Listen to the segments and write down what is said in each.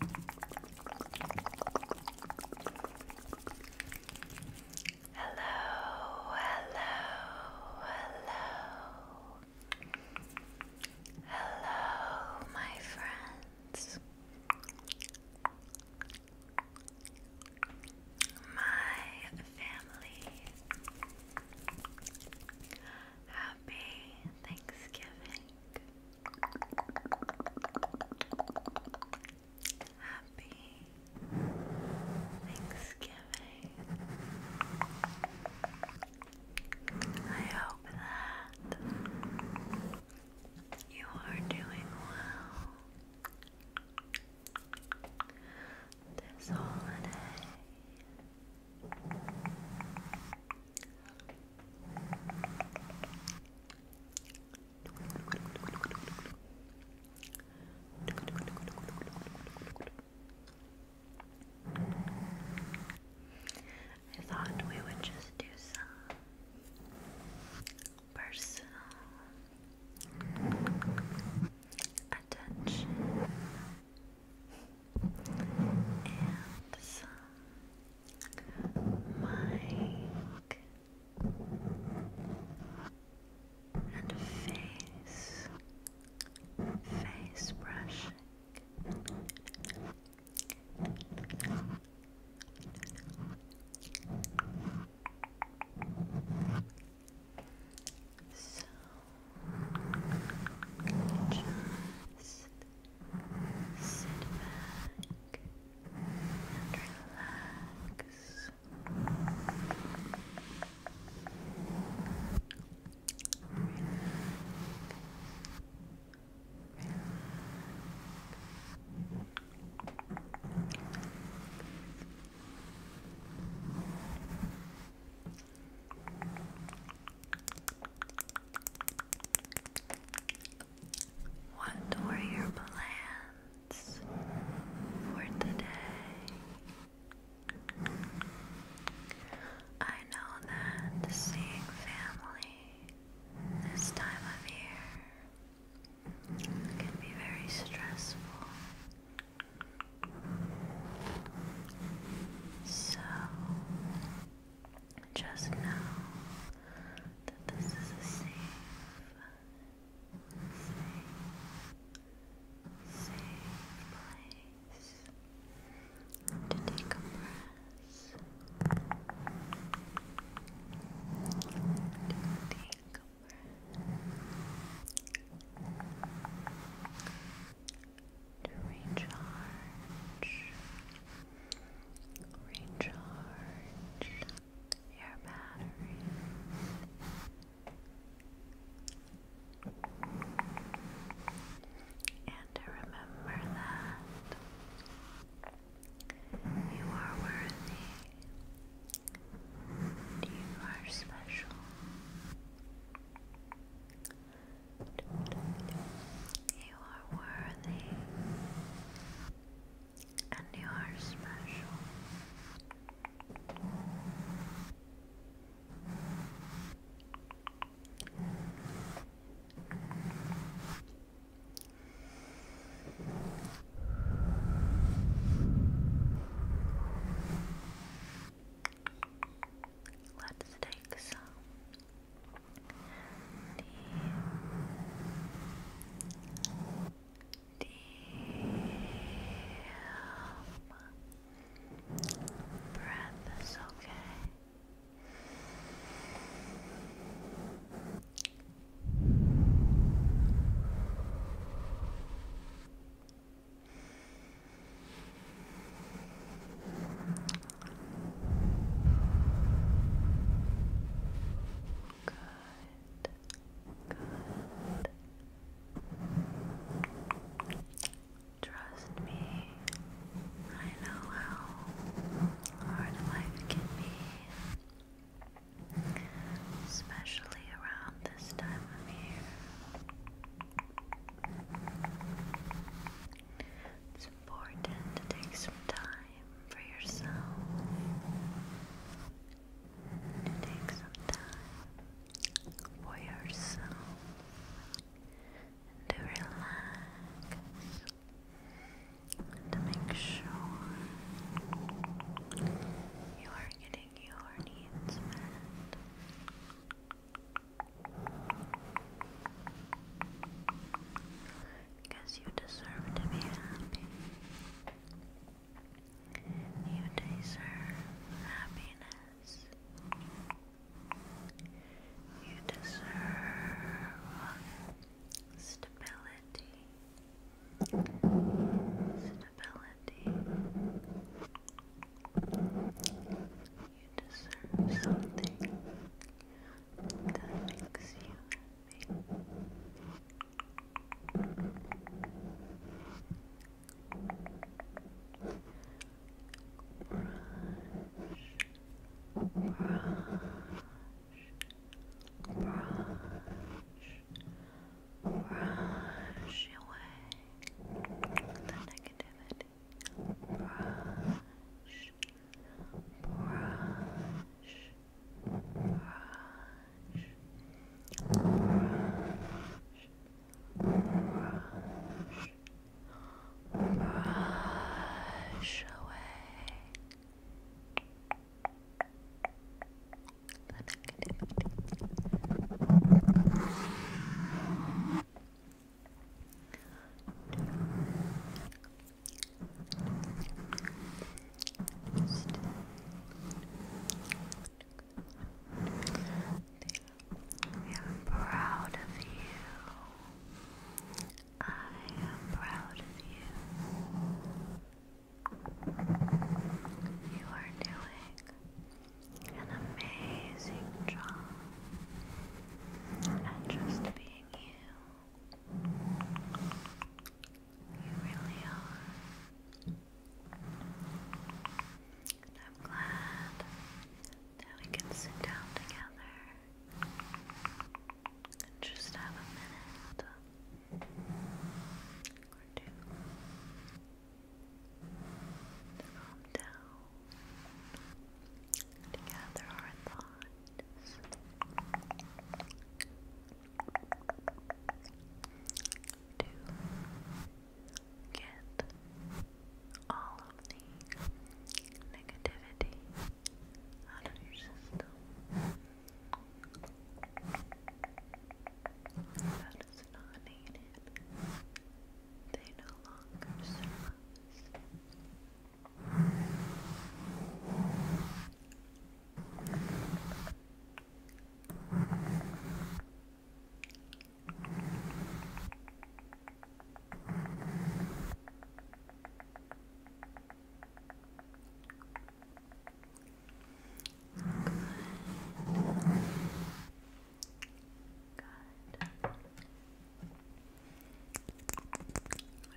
Hello, hello, hello. Hello, my friends. My family. Happy Thanksgiving. Happy Thanksgiving. I hope that you are doing well this holiday. I thought we would just do some personal attention and some Mike and face face brushing. So just Sit back and relax. Relax. What were your plans for today? I know that seeing family this time of year can be very stressful. So, just know that this is a safe, safe, safe place to take a breath. To take a breath. To recharge recharge your batteries. And remember that you are worthy, you are special. You are worthy. And you are special. Let's take some D deep breath is okay. Good. Good. Trust me, I know how hard life can be, especially around this time of year. It's important to take some time for yourself to take some time for yourself to relax to make sure you are getting your needs met because you deserve to be happy. You deserve happiness. You deserve stability. Stability. You deserve something that you Brush, brush, brush, brush away the negativity. Brush, brush, brush, brush. away we are proud of you. I am proud of you. You are doing an amazing job at just being you. You really are. I'm glad that we can sit down together and just have a minute or two to calm down, to gather our thoughts to get all of the negativity out of your system. That is not needed. They no longer what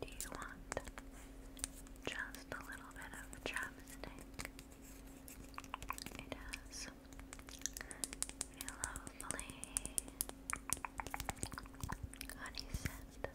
do you want? just a little bit of chapstick. It has a lovely honey scent.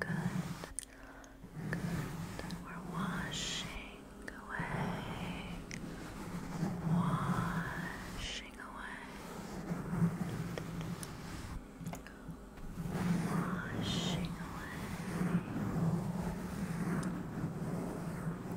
Good. Good. We're washing away. Washing away. Washing away.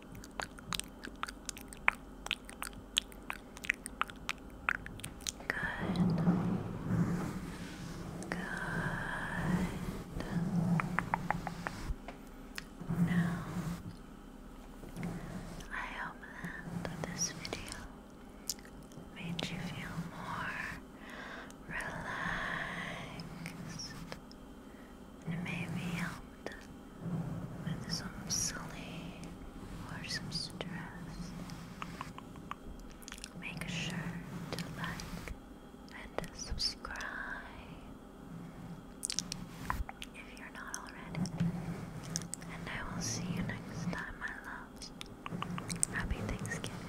Good. Now, I hope that this video made you feel more relaxed and maybe helped with some sleep or some stress, make sure to like and subscribe if you're not already. And I will see you next time, my loves. Happy Thanksgiving.